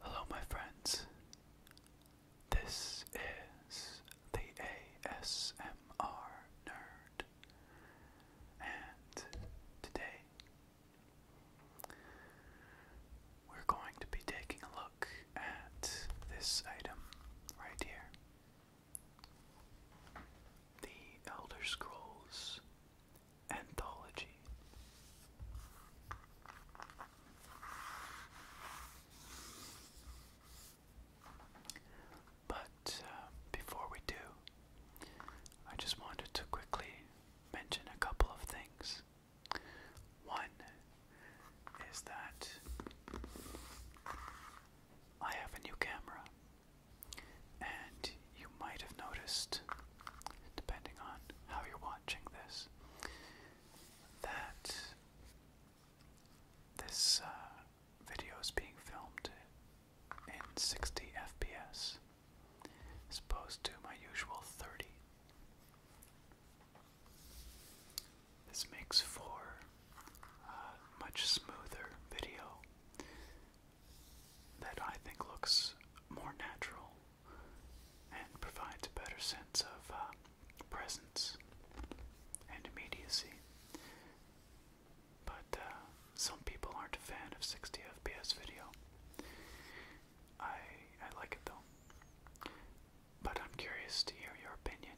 Hello, my friends. This is the ASMR Nerd, and today we're going to be taking a look at this item right here The Elder Scrolls Anthology. But uh, before we do, I just wanted to quickly mention a couple of things. One is that I have a new camera, and you might have noticed, depending on how you're watching this, that this uh, video is being filmed in 60 FPS as to my usual 30. This makes for a much smoother video that I think looks more natural and provides a better sense of uh, presence and immediacy. But uh, some people aren't a fan of 60 FPS video. I I like it though. But I'm curious to hear your opinion.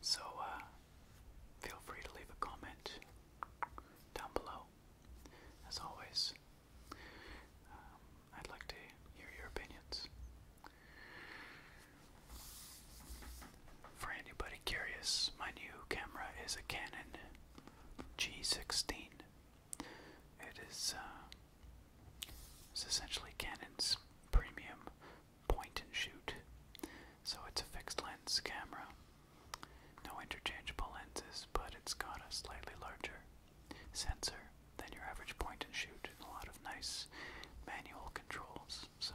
So uh, feel free to leave a comment down below. As always, um, I'd like to hear your opinions. For anybody curious, my new camera is a Canon G16. It is uh, it's essentially Canon's premium point and shoot. So it's a fixed lens camera. No interchangeable lenses, but it's got a slightly larger sensor than your average point and shoot and a lot of nice manual controls. So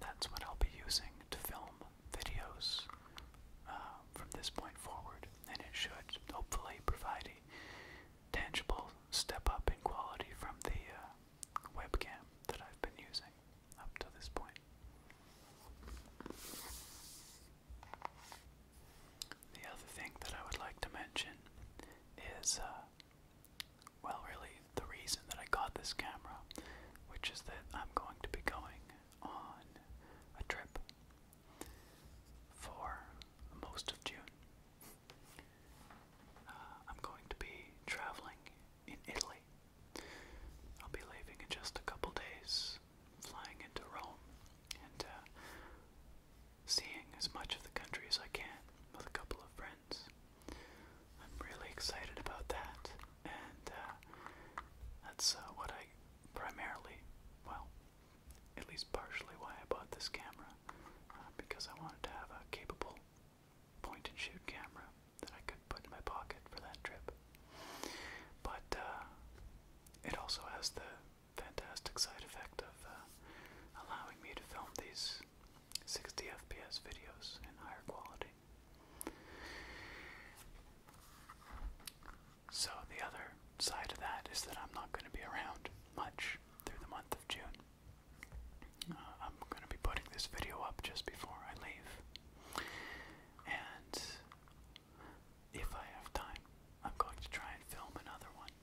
that's what I'll be using to film videos uh, from this point forward, and it should hopefully provide a tangible step up in quality from the uh, webcam that I've been using up to this point. The other thing that I would like to mention is, uh, well, really, the reason that I got this camera, which is that I'm going to be going on a trip for most of June. Uh, I'm going to be traveling in Italy. I'll be leaving in just a couple days, flying into Rome, and uh, seeing as much of the country as I can with a couple of friends. I'm really excited about that and uh, that's uh, what I primarily, well, at least partially why I bought this camera, uh, because I wanted to have a capable point and shoot camera that I could put in my pocket for that trip. But it also has the fantastic side effect of allowing me to film these 60 FPS videos in higher quality. So, the other side of that is that I'm not going to be around much through the month of June. Uh, I'm going to be putting this video up just before I leave. And if I have time, I'm going to try and film another one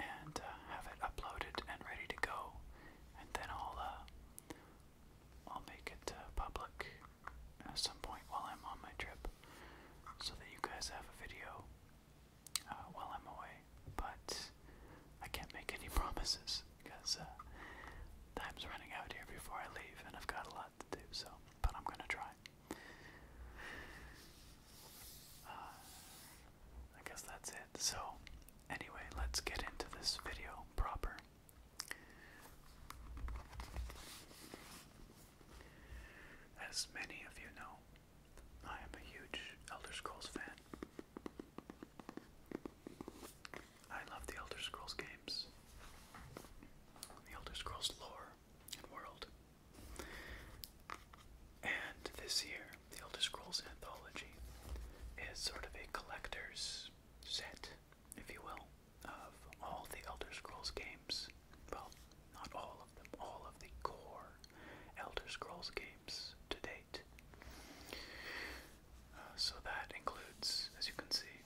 and uh, have it uploaded and ready to go. And then I'll uh, I'll make it uh, public at some point while I'm on my trip so that you guys have a video uh, while I'm away. But I can't make any promises because uh, time's running out here before I leave and I've got a lot to do, so, but I'm gonna try. I guess that's it. So, anyway, let's get into this video proper. As many of you know, I am a huge Elder Scrolls fan. I love the Elder Scrolls games, the Elder Scrolls lore and world. And this year, the Elder Scrolls Anthology is sort of a collector's set if you will, of all the Elder Scrolls games. Well, not all of them, all of the core Elder Scrolls games to date. Uh, so that includes, as you can see,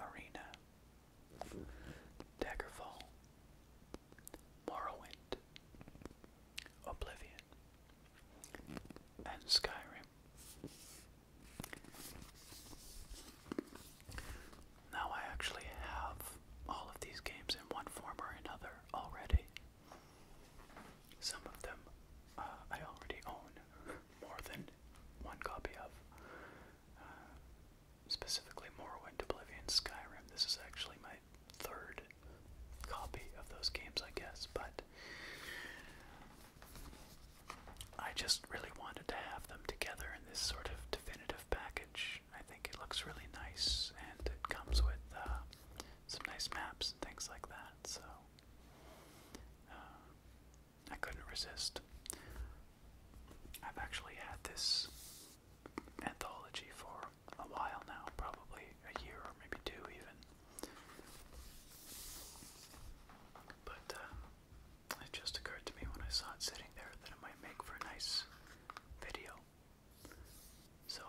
Arena, Daggerfall, Morrowind, Oblivion, and Skyrim. Now I actually have all of these games in one form or another already. Some of them uh, I already own more than one copy of. Uh, specifically Morrowind, Oblivion, Skyrim. This is actually my third copy of those games, I guess, but I just really wanted to have them together in this sort of definitive package. I think it looks really nice and it comes with uh, some nice maps and things like that, so uh, I couldn't resist. I've actually had this anthology for a while now, probably a year or maybe two even. But uh, it just occurred to me when I saw it sitting there that it might make for a nice video. So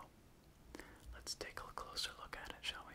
let's take a closer look at it, shall we?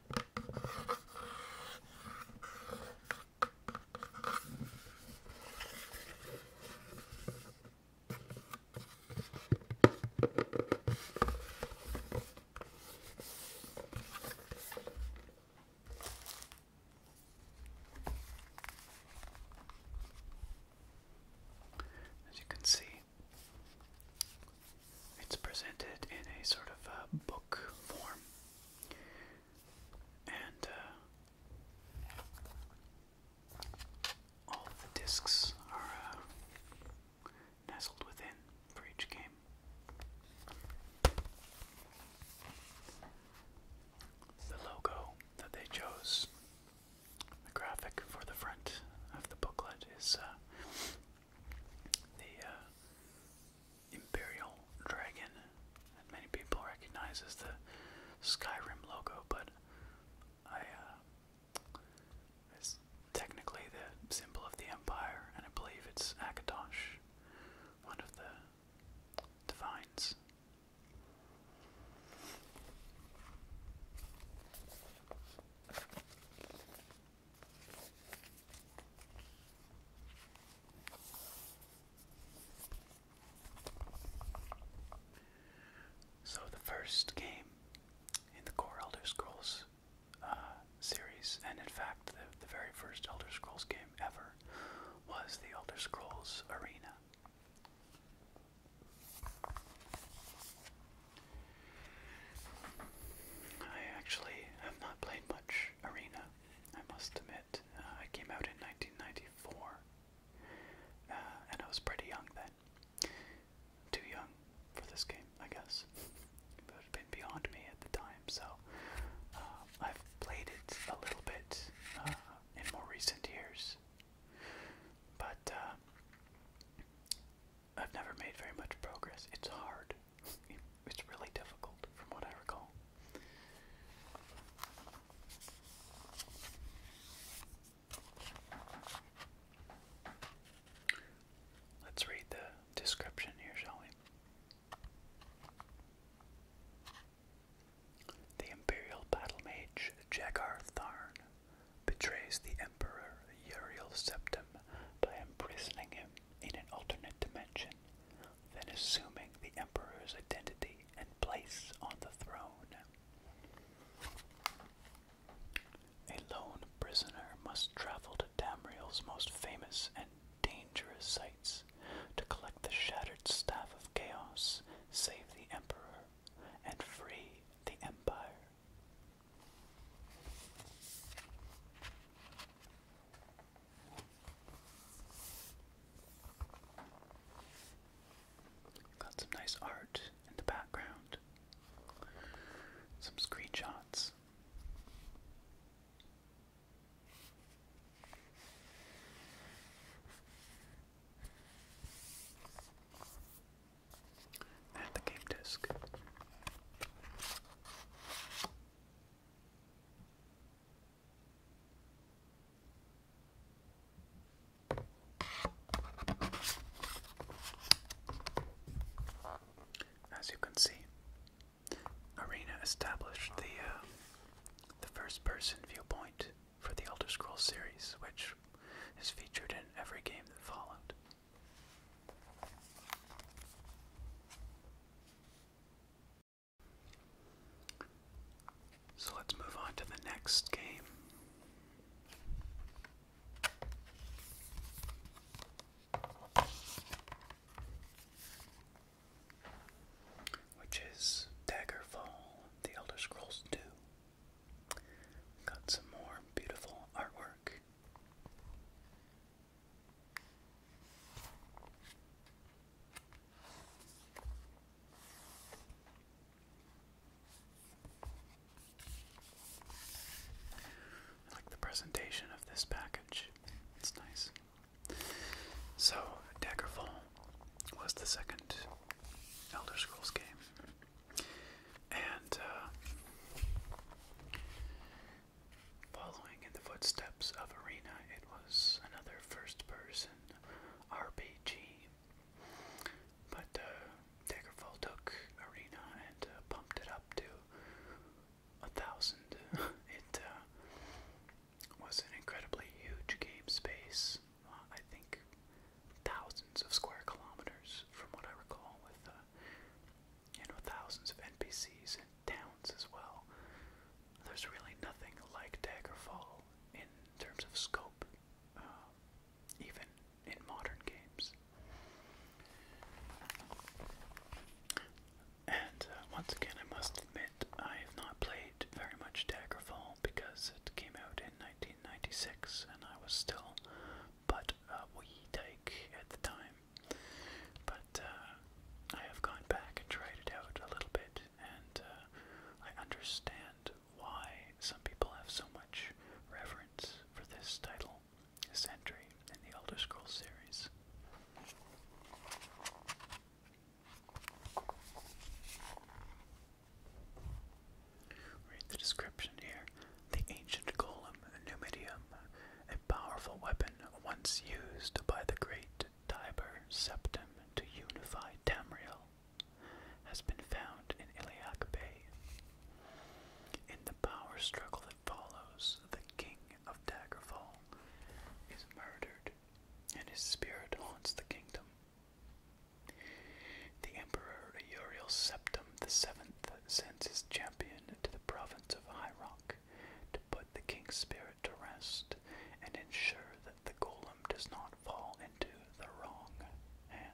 As you can see, it's presented in a sort of a uh, book form. And uh, all the discs are uh, nestled within for each game. The logo that they chose, the graphic for the front of the booklet, is uh, the uh, Imperial Dragon that many people recognize as the Skyrim logo, but I uh, technically the symbol of the Empire, and I believe it's Akatosh, one of the divines. So the first game in the core Elder Scrolls uh, series, and in fact the, the very first Elder Scrolls game ever, was the Elder Scrolls Arena. I actually have not played much arena, I must admit. Uh, I came out in 1994, uh, and I was pretty young then. Too young for this game, I guess. It would have been beyond me at the time, so uh, I've played it a little bit in more recent years. But I've never made very much progress. It's hard it's really difficult from what I recall. Let's read the description here, shall we? The Imperial Battle Mage Jagar Tharn betrays the Emperor Uriel Septim by imprisoning him in an alternate dimension then assuming the Emperor's identity and place on the throne. A lone prisoner must travel to Damriel's most famous and dangerous sites to collect the shattered staff of chaos, save the Emperor, and free the Empire. Got some nice art in the background, some screenshots. And the game disc. As you can see, Arena established the uh, the first-person viewpoint for the Elder Scrolls series, which is featured in every game that followed. So let's move on to the next game. Which is Daggerfall, The Elder Scrolls 2. Got some more beautiful artwork. I like the presentation of this package. It's nice. So, Daggerfall was the second Elder Scrolls game. And uh, Following in the footsteps of Arena, it was another first person RPG. But uh, Daggerfall took Arena and uh, pumped it up to a thousand. it uh, was an incredibly huge game space. Uh, I think thousands of square kilometers, from what I recall, with uh, you know, thousands of NPCs and towns as well. There's really nothing like Daggerfall in terms of scope, uh, even in modern games. And uh, once again, I must admit, I have not played very much Daggerfall because it came out in 1996 and I was still but uh, we take at the time but uh, I have gone back and tried it out a little bit, and uh, I understand why some people have so much reverence for this title, this in the Elder Scrolls series. Read the description here. The ancient golem Numidium a powerful weapon once used by the great Tiber Septum to unify Tamriel, has been found in Iliac Bay. In the power struggle that follows, the king of Daggerfall is murdered, and his spirit haunts the kingdom. The Emperor Septum the Seventh sends his champion to the province of High Rock to put the king's spirit to rest and ensure that the golem does not fall into the wrong hands.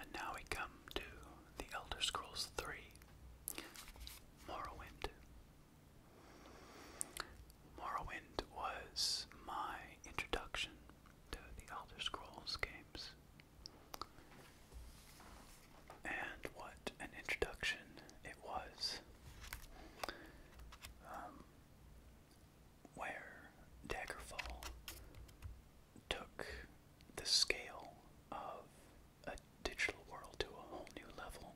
And now we come to The Elder Scrolls 3 Morrowind. Morrowind was my introduction to the Elder Scrolls games. And what an introduction it was. Um, where Daggerfall took the scale of a digital world to a whole new level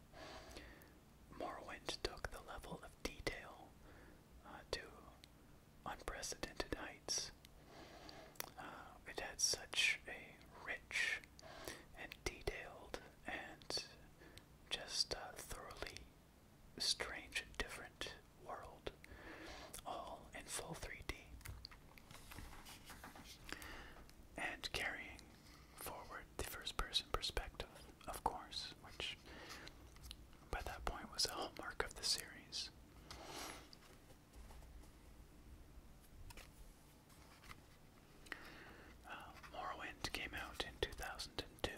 Morrowind took the level of detail uh, to unprecedented heights. Uh, it had such a rich and detailed and just thoroughly strange and different world, all in full 3D. And carrying forward the first person perspective of course, which by that point was a hallmark of the series. Uh, Morrowind came out in 2002,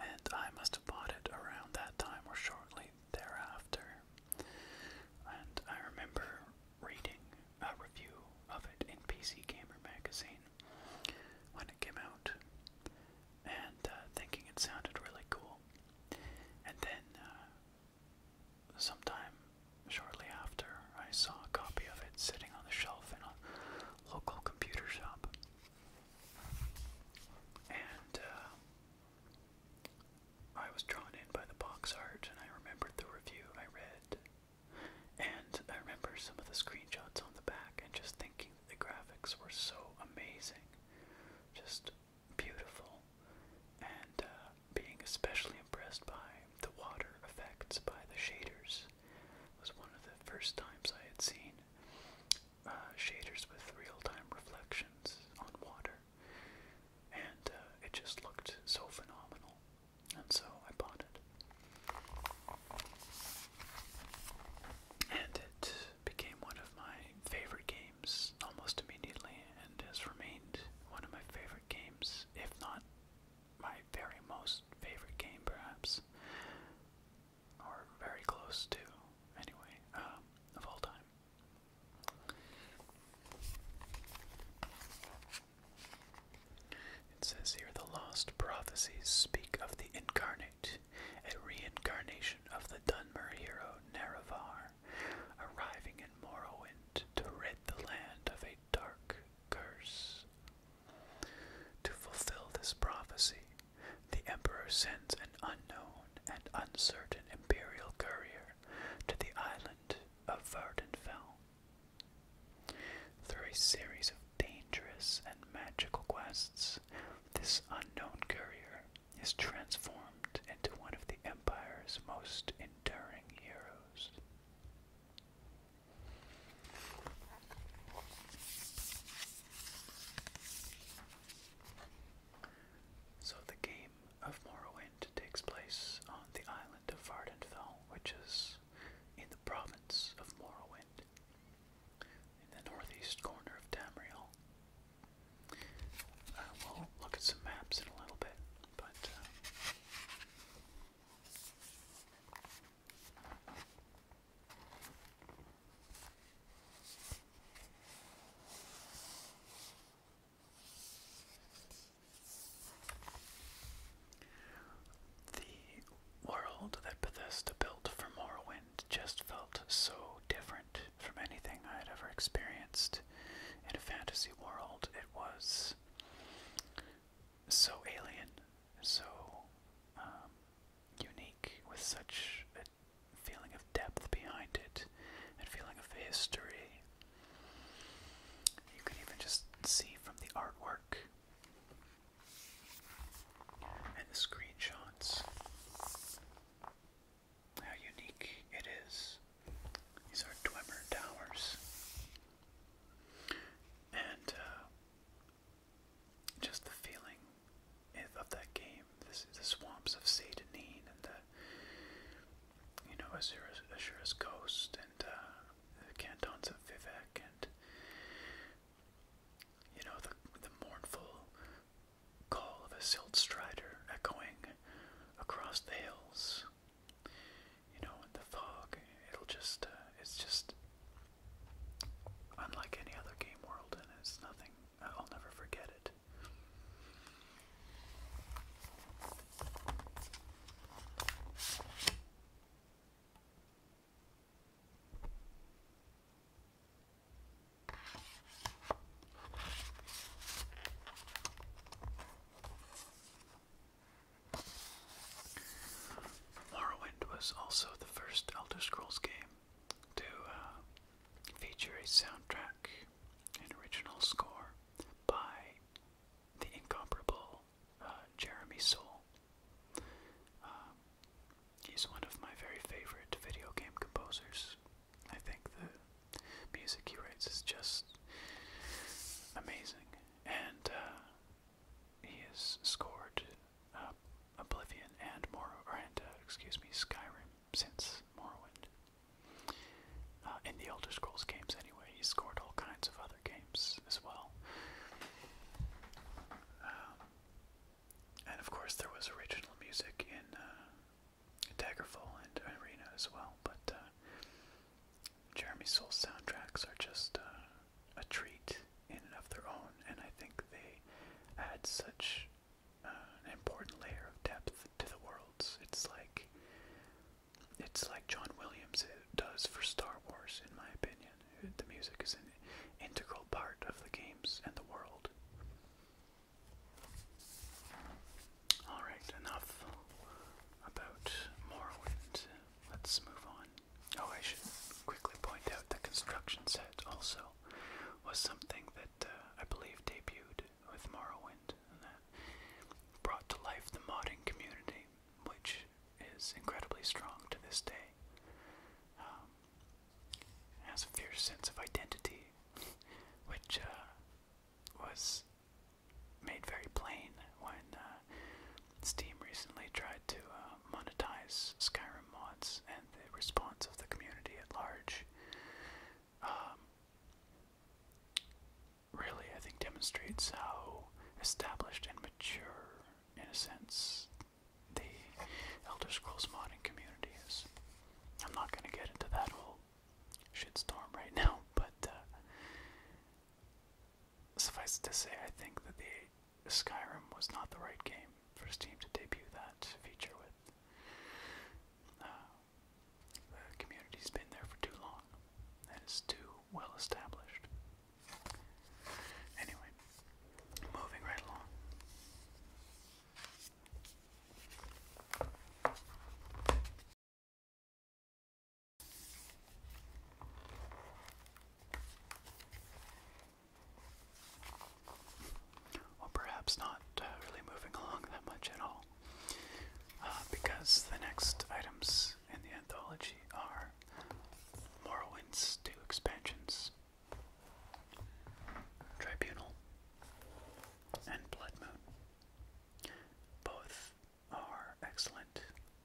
and I must have bought it around that time or shortly thereafter. And I remember reading a review of it in PC Gamer magazine when it came out, and uh, thinking it sounded really cool. And then, uh, sometime shortly after, I saw a copy of it sitting on the shelf in a local computer shop. And uh, I was drawn in by the box art, and I remembered the review I read and I remember some of the screenshots on the back and just thinking that the graphics were so amazing, just beautiful, and uh, being especially impressed by the water effects by the shaders. was one of the first times I had seen uh, shaders with real time reflections on water, and uh, it just looked so phenomenal. And so I bought it. And it became one of my favorite games almost immediately and has remained one of my favorite games, if not my very most favorite game, perhaps. Or very close to, anyway, um, of all time. It says here the lost prophecies speak of the incarnate, a reincarnation of the Dunmer hero Nerevar, arriving in Morrowind to rid the land of a dark curse. To fulfill this prophecy, the Emperor sends an unknown and uncertain imperial courier to the island of Vardenfell through a series of dangerous and magical quests, this unknown courier is transformed into one of the Empire's most enduring heroes. So, the game of Morrowind takes place on the island of Vardenfell, which is in the province of Morrowind, in the northeast corner of Tamriel. Uh, will look at some maps in a little bit, but. Uh, the world that Bethesda built for Morrowind just felt so different from anything I had ever experienced in a fantasy world. It was so alien, so um, unique, with such a feeling of depth behind it and feeling of history. You can even just see from the artwork and the screenshots. How unique it is. These are Dwemer Towers. And uh, just the feeling of that game. the swamps of Satanine and you know Azura's, Ghost and uh, the cantons of Vivek and you know the the mournful call of a silt strider echoing across the hills. You know, in the fog, it'll just uh, it's just unlike any other game world, and it's nothing. I'll never forget it. Morrowind was also the first Elder Scrolls game to uh, feature a soundtrack, and original score by the incomparable uh, Jeremy Soule. Um, he's one of my very favorite video game composers. I think the music he writes is just amazing, and uh, he has scored uh, Oblivion and Morrow, and uh, excuse me, Skyrim since Morrowind. Uh, in the Elder Scrolls games, anyway, he scored all kinds of other games as well. Um, and of course, there was original music in uh, Daggerfall and Arena as well, but uh, Jeremy Soule's soundtracks are just uh, a treat in and of their own, and I think they add such an important layer of depth to the worlds. It's like it's like John Williams does for Star Wars, in my opinion. The music is an integral part of the games and the world. Alright, enough about Morrowind. Let's move on. Oh, I should quickly point out the construction set also was something that uh, I believe debuted with Morrowind and that brought to life the modding community which is incredibly strong to this day. Um, has a fierce sense of identity, which uh, was made very plain when uh, Steam recently tried to uh, monetize Skyrim mods and the response of the community at large. Um, really, I think demonstrates how established and mature in a sense, the Elder Scrolls modding community is. I'm not going to get into that whole shitstorm right now, but uh, suffice it to say, I think that the Skyrim was not the right game for Steam to debut that feature with. Uh, the community's been there for too long, and it's too well established. Anyway, moving right along. Well, perhaps not uh, really moving along that much at all, uh, because the next items books in the anthology are Morrowind's two expansions, Tribunal and Blood Both are excellent,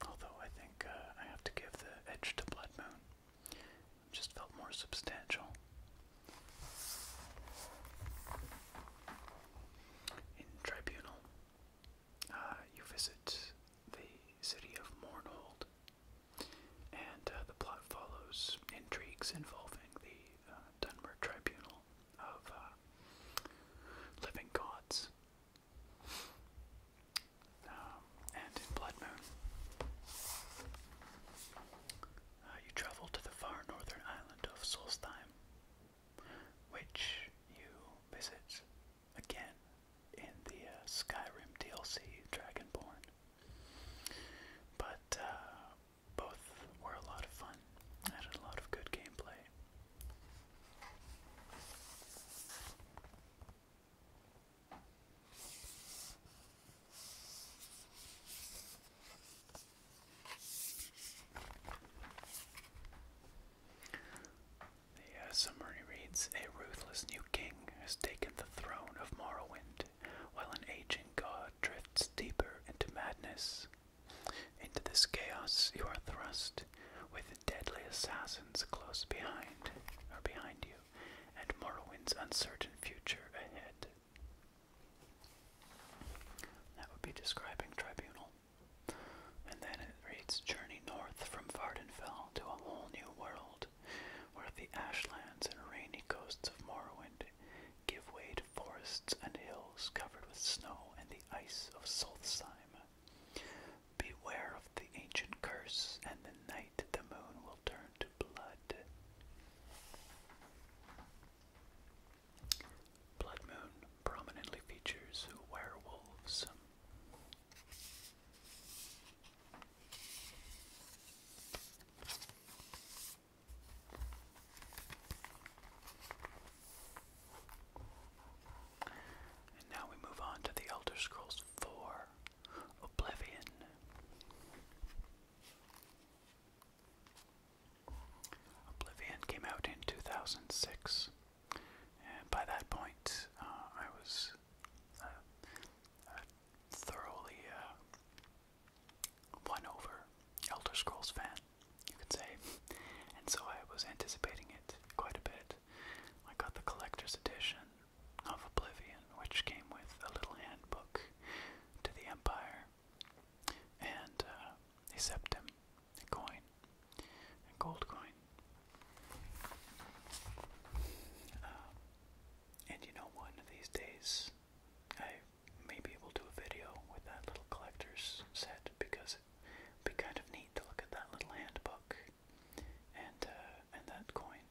although I think uh, I have to give the edge to Blood just felt more substantial. In Tribunal, uh, you visit the city of Mornhold, and uh, the plot follows intrigues involving the uh, Dunmer Tribunal of uh, Living Gods. Um, and in Blood Moon, uh, you travel to the far northern island of Solstheim, which you visit again in the uh, Skyrim DLC Dragonborn. But uh, both were a lot of fun. had a lot of good gameplay. The uh, summary reads A ruthless new king has taken the throne of Morrowind, while an aging god drifts deeper into madness. Into this chaos you are thrust, with deadly assassins close behind, or behind you, and Morrowind's uncertain future ahead. That would be describing Tribunal. And then it reads Journey north from Vardenfell to a whole new world, where the ashlands and rainy coasts of Morrowind give way to forests and hills covered with snow and the ice of Solstheim. Beware of the ancient curse, and the night the moon will turn to blood. Blood Moon prominently features werewolves. And now we move on to The Elder Scrolls 4 Oblivion. Oblivion came out in 2006 and by that point, uh, I was uh, uh, thoroughly won over Elder Scrolls fan, you could say. And so I was anticipating it quite a bit. I got the collector's edition of Oblivion, which came with a little handbook to the Empire and uh, a septum a coin, a gold coin. Um, and you know, one of these days, I may be able to do a video with that little collector's set because it'd be kind of neat to look at that little handbook and uh, and that coin.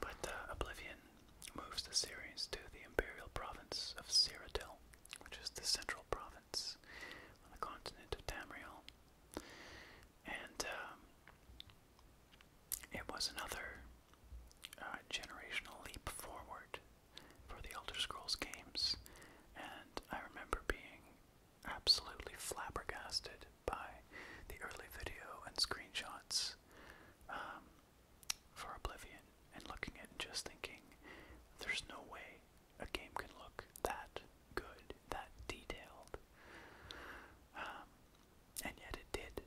But uh, Oblivion moves the series to the imperial province of Cyrodiil which is the central province on the continent of Tamriel. And um, it was another uh, generational leap forward for the Elder Scrolls games, and I remember being absolutely flabbergasted by the early video and screenshots um, for Oblivion, and looking at and just thinking, there's no way a game can look that good, that detailed. Um, and yet it did.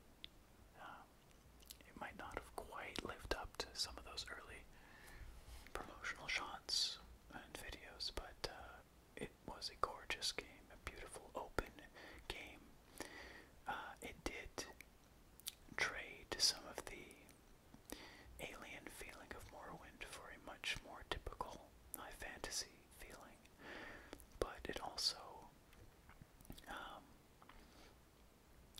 Um, it might not have quite lived up to some of those early promotional shots and videos, but uh, it was a gorgeous game, a beautiful open game. Uh, it did trade some of the alien feeling of Morrowind for a much more typical high fantasy feeling, but it also um,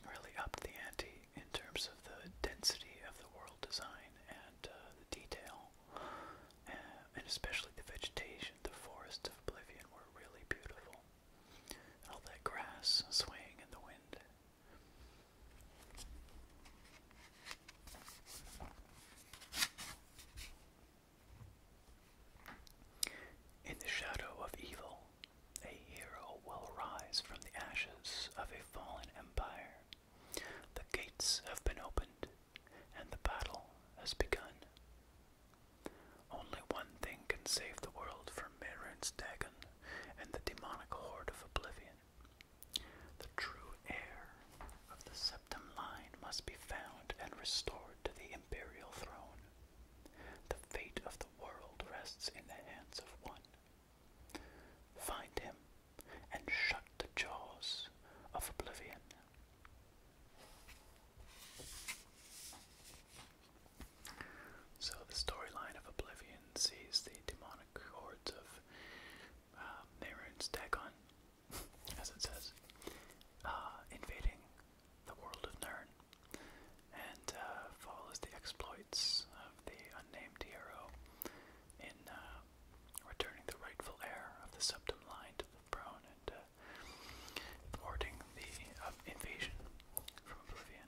really upped the ante in terms of the density of the world design and uh, the detail, uh, and especially the vegetation. The forests of Oblivion were really beautiful. And all that grass swaying in the wind in the shadow of evil, a hero will rise from the ashes of a fallen empire. The gates have been opened, and the battle has begun. Only one thing can save the world from Mirren's Dagon and the demonic horde of oblivion. The true heir of the septum line must be found and restored to the imperial throne. The fate of the world rests in the hands of one. Find him and shut the jaws of oblivion. So, the storyline of Oblivion sees the demonic hordes of uh, Dagon, as it says, uh, invading the world of Nern, and uh, follows the exploits of the unnamed hero in uh, returning the rightful heir of the Septum line to the throne and thwarting the invasion from Oblivion.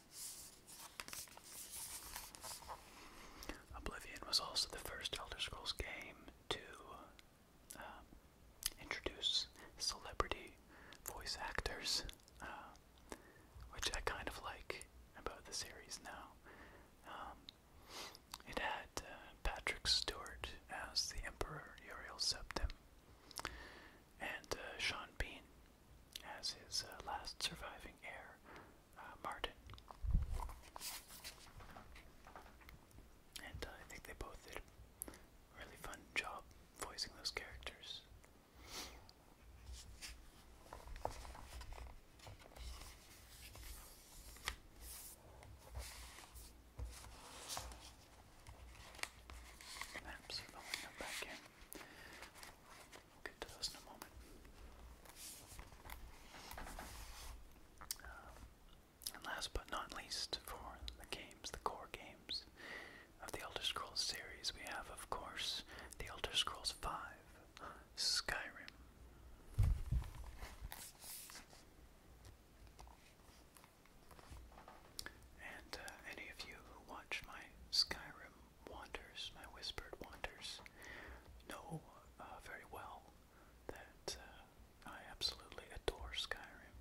Oblivion was also the first Elder Scrolls game to um, introduce celebrity voice actors, uh, which I kind of like about the series now. Um, it had uh, Patrick Stewart as the Emperor Uriel Septim and uh, Sean Bean as his uh, last surviving heir, uh, Martin. And uh, I think they both did a really fun job voicing those characters get to those in a moment. Um, and last but not least, for the games, the core games of the Elder Scrolls series, we have, of course, The Elder Scrolls V Skyrim. And uh, any of you who watch my Skyrim wanders, my whispered wanders, know uh, very well that uh, I absolutely adore Skyrim.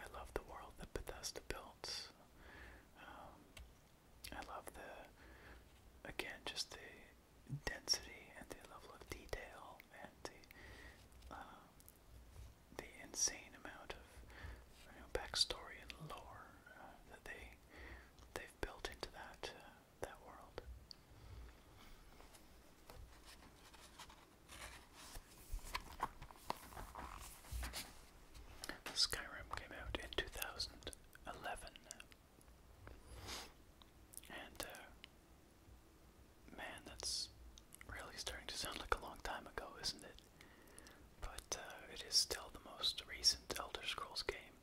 I love the world that Bethesda built. Um, I love the, again, just the density and the level of detail and the the insane amount of backstory and lore uh, that they they've built into that uh, that world. Skyrim came out in 2011, and uh, man, that's really starting to sound like a long time ago, isn't it? But uh, it is still the most recent Elder Scrolls game,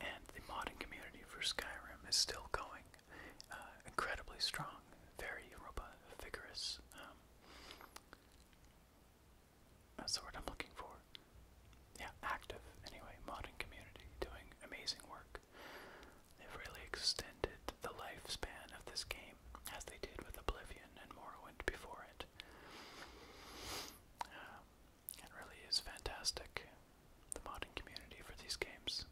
and the modding community for Skyrim is still going uh, incredibly strong, very robust, vigorous. Um, that's the word I'm looking for. Yeah, active, anyway, modding community doing amazing work. They've really extended the lifespan of this game as they did with Oblivion and Morrowind before it. Um, it really is fantastic, the modding community for these games.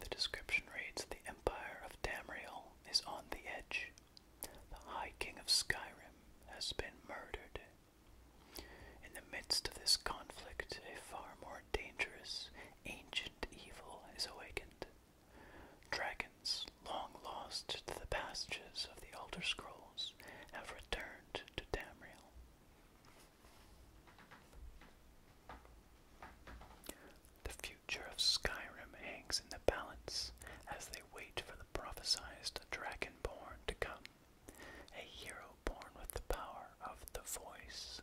The description reads The Empire of Tamriel is on the edge. The High King of Skyrim has been murdered. In the midst of this conflict, a far more more dangerous, ancient evil is awakened. Dragons, long lost to the passages of the Elder Scrolls, have returned to Tamriel. The future of Skyrim hangs in the balance as they wait for the prophesied Dragonborn to come, a hero born with the power of the voice.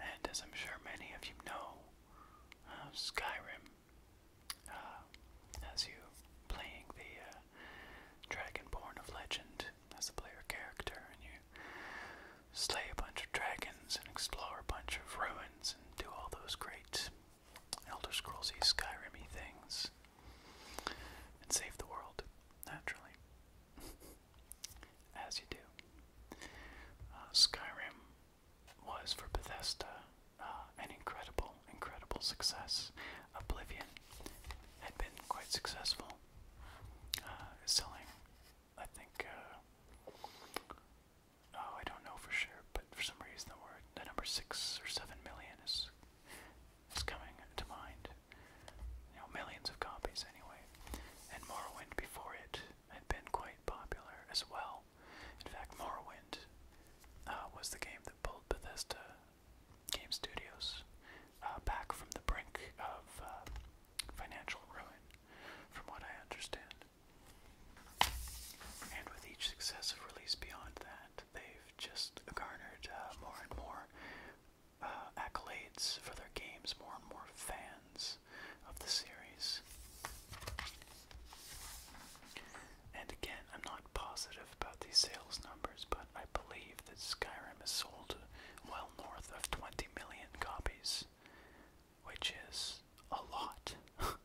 And as I'm sure many of you know, uh, Skyrim, uh, as you playing the uh, Dragonborn of Legend as a player character, and you slay a bunch of dragons and explore a bunch of ruins and do all those great Elder Scrollsy Skyrim things and save the world, naturally. as you do. Uh, Skyrim was for Bethesda uh, an incredible, incredible success. Oblivion had been quite successful, uh, selling, I think, oh, I don't know for sure, but for some reason the word, the number six or seven million is is coming to mind you know, millions of copies anyway. And Morrowind before it had been quite popular as well. In fact, Morrowind uh, was the game that pulled Bethesda Game Studios uh, back from the brink of uh, financial ruin, from what I understand. And with each successive release beyond that, they've just garnered more and more uh, accolades for their games, more and more fans of the series. And again, I'm not positive about these sales numbers, but I believe that Skyrim has sold well north of 20 million copies, which is a lot.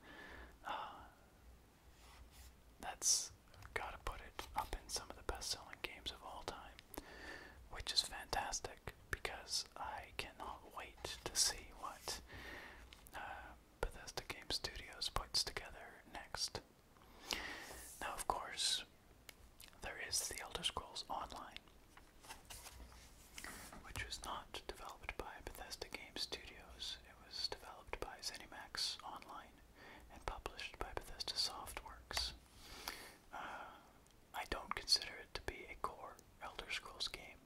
Uh, that's gotta put it up in some of the best selling games of all time which is fantastic because I cannot wait to see what uh, Bethesda Game Studios puts together next. Now, of course, there is The Elder Scrolls Online, which was not developed by Bethesda Game Studios, it was developed by ZeniMax Online and published by Bethesda Softworks. Uh, I don't consider it to be a core Elder Scrolls game.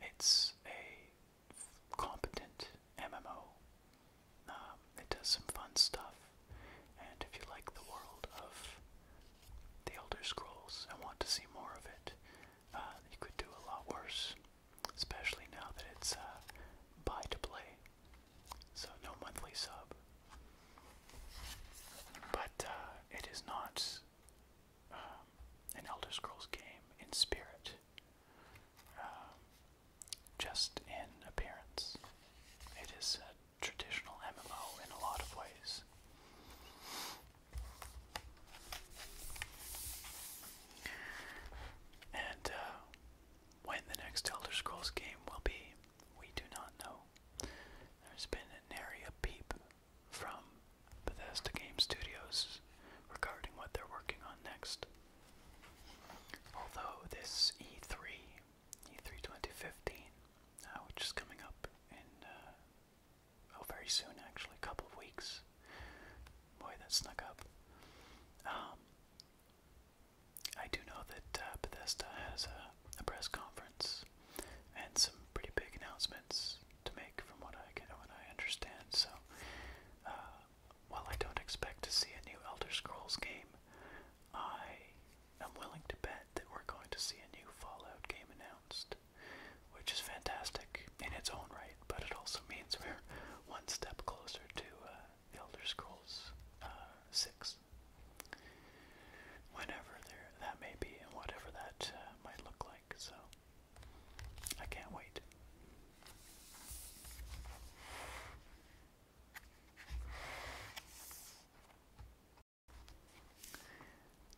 It's a competent MMO. Um, it does some fun stuff, and if you like the world of the Elder Scrolls and want to see more of it, uh, you could do a lot worse. Especially now that it's uh, buy to play. So no monthly sub. But uh, it is not um, an Elder Scrolls game in spirit, um, just in appearance. It is a traditional MMO in a lot of ways. And uh, when the next Elder Scrolls game will be, we do not know. There's been an area peep from Bethesda Game Studios regarding what they're working on next. Although this E3, E3 2015, uh, which is coming up in, uh, oh, very soon actually, a couple of weeks. Boy, that snuck up. Um, I do know that uh, Bethesda has a, a press conference and some pretty big announcements to make, from what I can, what I understand. So, uh, while I don't expect to see a new Elder Scrolls game, I am willing to bet that we're going to see a new Fallout game announced, which is fantastic in its own right. But it also means we're one step closer to uh, Elder Scrolls uh, Six. Whenever that may be, and whatever that uh, might look like, so I can't wait.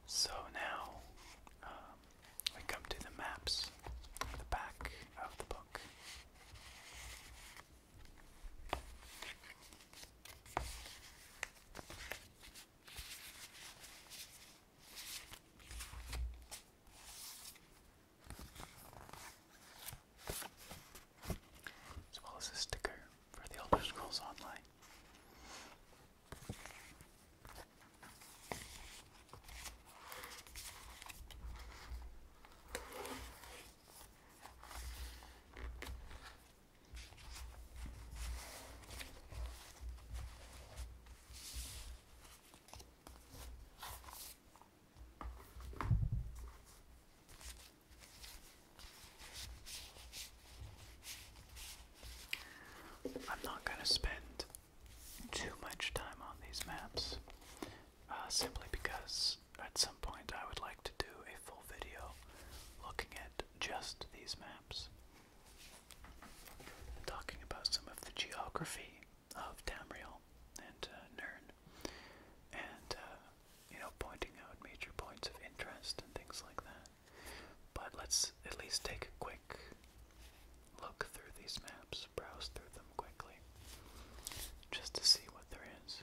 So now um, we come to the maps, the back of the book. As well as a sticker for the Elder Scrolls Online. I'm not going to spend too much time on these maps uh, simply because at some point I would like to do a full video looking at just these maps. Talking about some of the geography of Tamriel and uh, Nern, and uh, you know, pointing out major points of interest and things like that. But let's at least take a quick look through these maps, browse through them quickly, just to see what there is.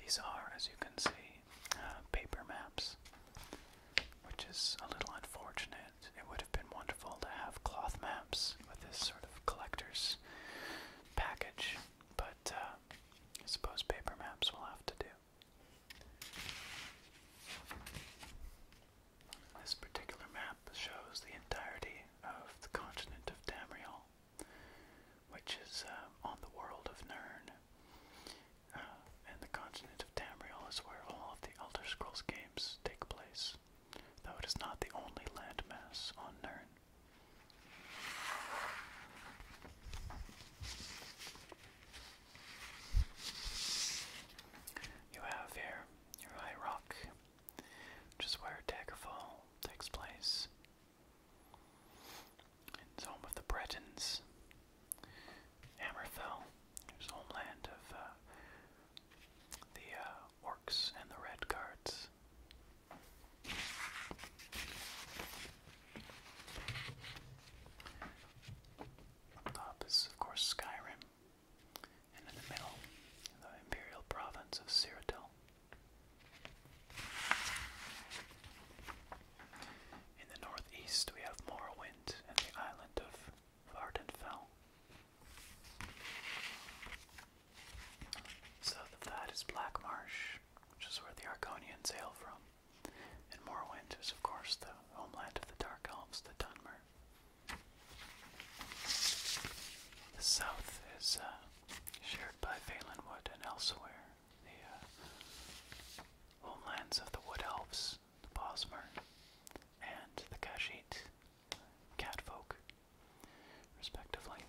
These are, as you can see, uh, paper maps, which is a little unfortunate. It would have been wonderful to have cloth maps with this sort of collector's package, but uh, I suppose paper maps will have to do. This particular map shows the entirety of the continent of Tamriel, which is uh, on the world of Nern. Uh, and the continent of Tamriel is where all of the Elder Scrolls games take place, though it is not the only landmass on Nern. You have here your high rock, which is where Daggerfall takes place. home of the Bretons. Hammerfell, whose homeland of uh, the uh, orcs and the red guards. Up is, of course, Skyrim and in the middle, the imperial province of Cyrodiil. In the northeast, we have Morrowind and the island of Vardenfell. South of that is Black Marsh, which is where the Argonians hail from, and Morrowind is, of course, the homeland of the Dark Elves, the Dunmer. The south is uh, shared by Valenwood and elsewhere. The uh, homelands of the Wood Elves, the Bosmer, and the Kashet Catfolk, respectively.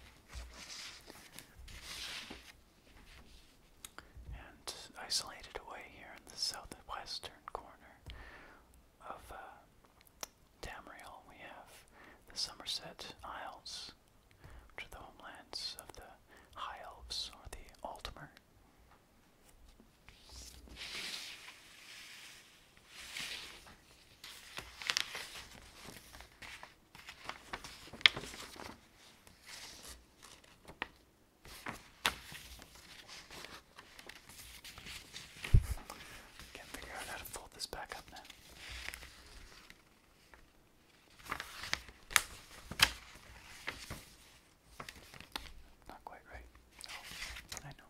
And isolated away here in the southwestern corner of uh, Tamriel, we have the Somerset Isles, which are the homelands of the High Elves or the Altmer. Can't figure out how to fold this back up now. Not quite right. Oh, I know.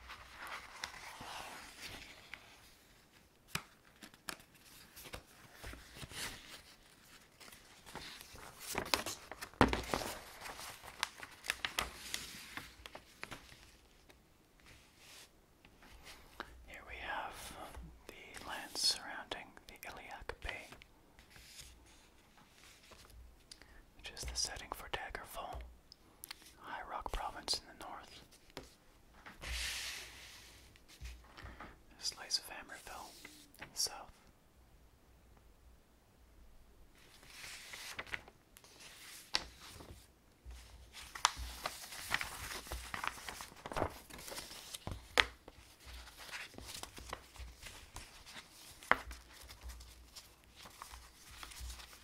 Here we have the land surrounding the Iliac Bay, which is the setting for Daggerfall. High Rock Province in the north. a Slice of Hammerfell in the south.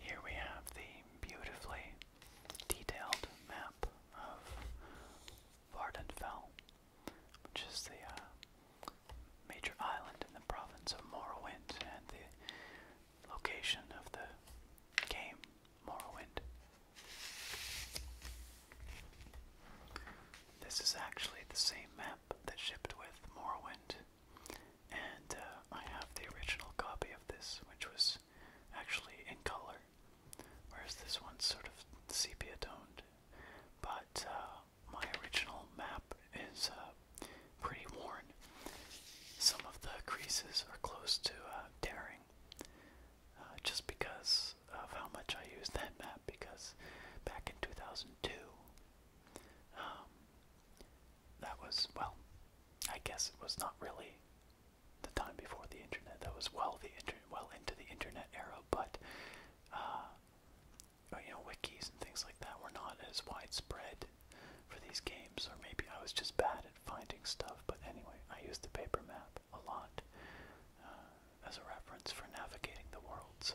Here we have the beautifully detailed map of Vardenfell, which is the uh, major island in the province of Morrowind and the location of the game Morrowind. This is actually the same map that shipped with Morrowind, and uh, I have the original copy of this, which was actually in color, whereas this one's sort of sepia toned. But uh, my original map is uh, pretty worn. Some of the creases are close to tearing, uh, just because of how much I used that map. Because back in 2002, um, that was, well, I guess it was not really the time before the internet. That was well the internet, well into the internet era, but uh, oh, you know, wikis and things like that were not as widespread for these games, or maybe I was just bad at finding stuff. But anyway, I used the paper map a lot as a reference for navigating the world. So.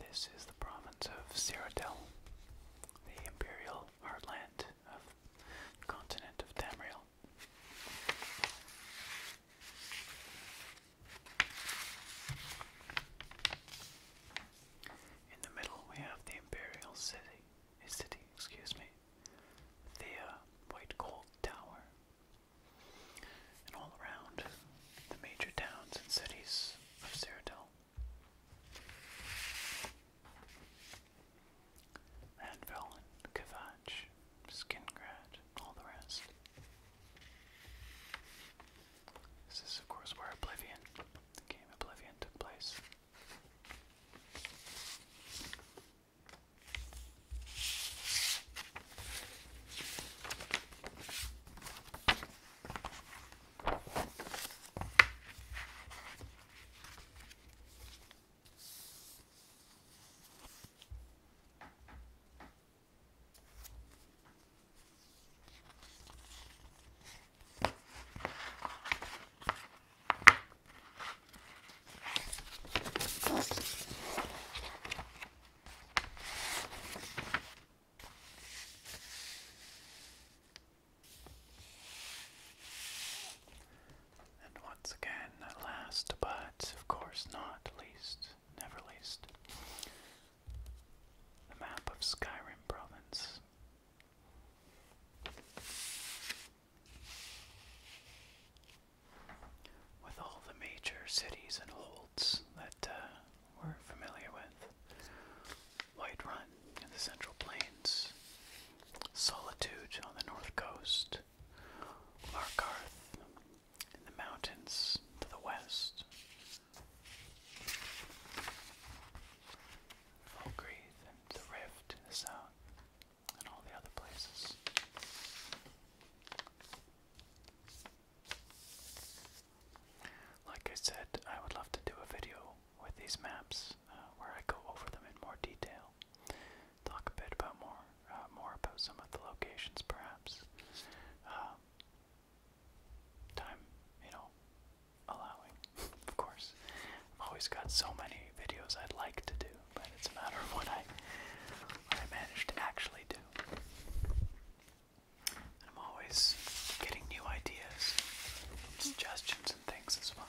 This is the province of Cyrodiil, the imperial heartland of the continent of Tamriel. In the middle, we have the Imperial City, a city, excuse me, the uh, White Gold Tower. And all around, the major towns and cities of Cyrodiil. Anvil and Kavach, all the rest. This is, of course, where Oblivion, the game Oblivion, took place. And once again, last but of course not least, never least, the map of Skyrim province. With all the major cities and holds that uh, we're familiar with Whiterun in the Central Plains, Solitude on the North Coast, Markarth in the mountains to the west, Ogreath and the Rift the south, and all the other places. Like I said, I would love to do a video with these maps uh, where I go over them in more detail, talk a bit about more, uh, more about some of the locations, perhaps. Um, time, you know, allowing, of course. I've always got so many videos I'd like to do, but it's a matter of what I, I manage to actually do. And I'm always getting new ideas, suggestions, and things as well.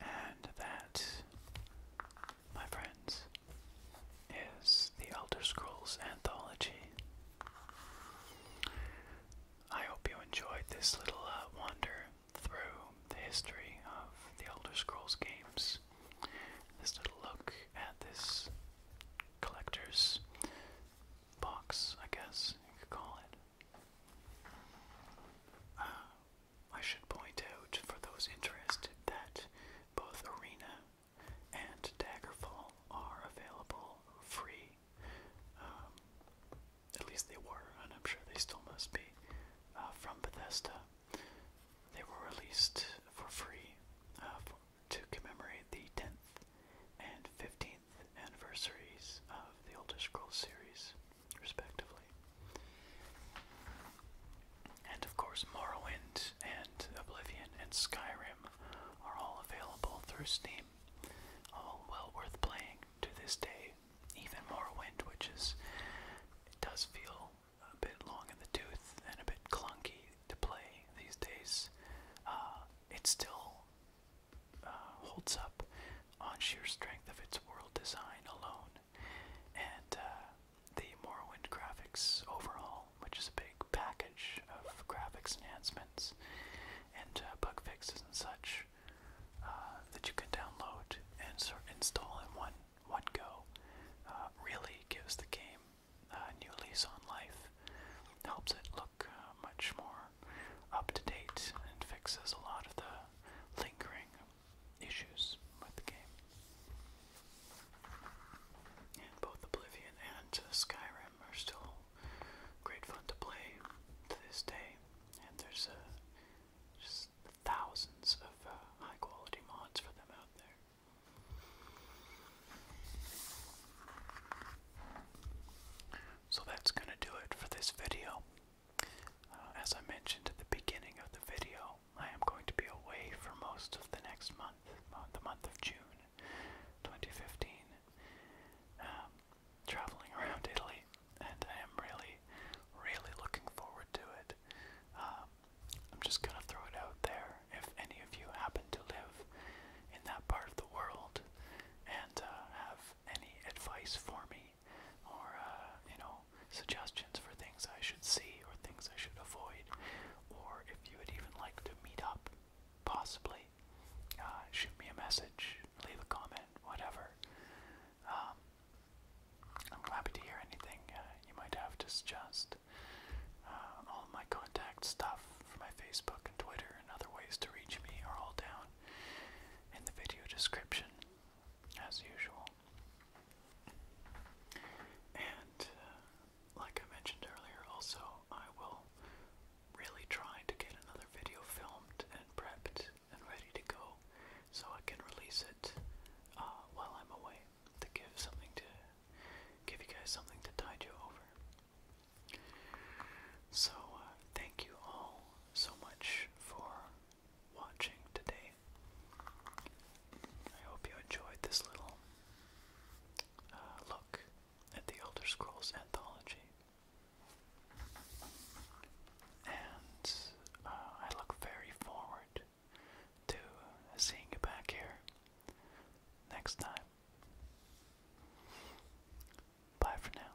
And that, my friends, is The Elder Scrolls Anthology. I hope you enjoyed this little uh, wander through the history of the Elder Scrolls games. This little look at this collector's box, I guess you could call it. Uh, I should point out for those interested that both Arena and Daggerfall are available free. Um, at least they were, and I'm sure they still must be, uh, from Bethesda. They were released for free uh, to commemorate the 10th and 15th anniversaries of the Elder Scrolls series respectively. And of course, Morrowind and Oblivion and Skyrim are all available through Steam. All well worth playing to this day. Even Morrowind, which is, does feel a bit long in the tooth and a bit clunky to play these days. Uh, it still uh, holds up on sheer strength of its world design alone and uh, the Morrowind graphics overhaul, which is a big package of graphics enhancements and uh, bug fixes and such uh, that you can download and install in one one go. really gives the game a new lease on life, helps it look much more up to date, and fixes a lot of the lingering issues with the game. And both Oblivion and uh, Skyrim are still great fun to play to this day, and there's uh, just thousands of uh, high quality mods for them out there. So that's going to do it for this video. Uh, as I mentioned at the beginning of the video, I am going to be away for most of the next month, the month of June 2015, um, traveling around Italy, and I am really, really looking forward to it. Um, I'm just going to throw it out there if any of you happen to live in that part of the world and uh, have any advice for me or, uh, you know, suggestions for things I should see or things I should avoid, or if you would even like to meet up, possibly, uh, shoot me a message, leave a comment, whatever. Um, I'm happy to hear anything uh, you might have to suggest. all my contact stuff for my Facebook and Twitter and other ways to reach me are all down in the video description, as usual. And uh, like I mentioned earlier, also, I will really try to get another video filmed and prepped and ready to go so I can release it uh, while I'm away to give something to give you guys something to tide you over. So, uh, thank you all so much for watching today. I hope you enjoyed this little uh, look at the Elder Scrolls anthology. And uh, I look very forward to seeing you back here next time. Bye for now.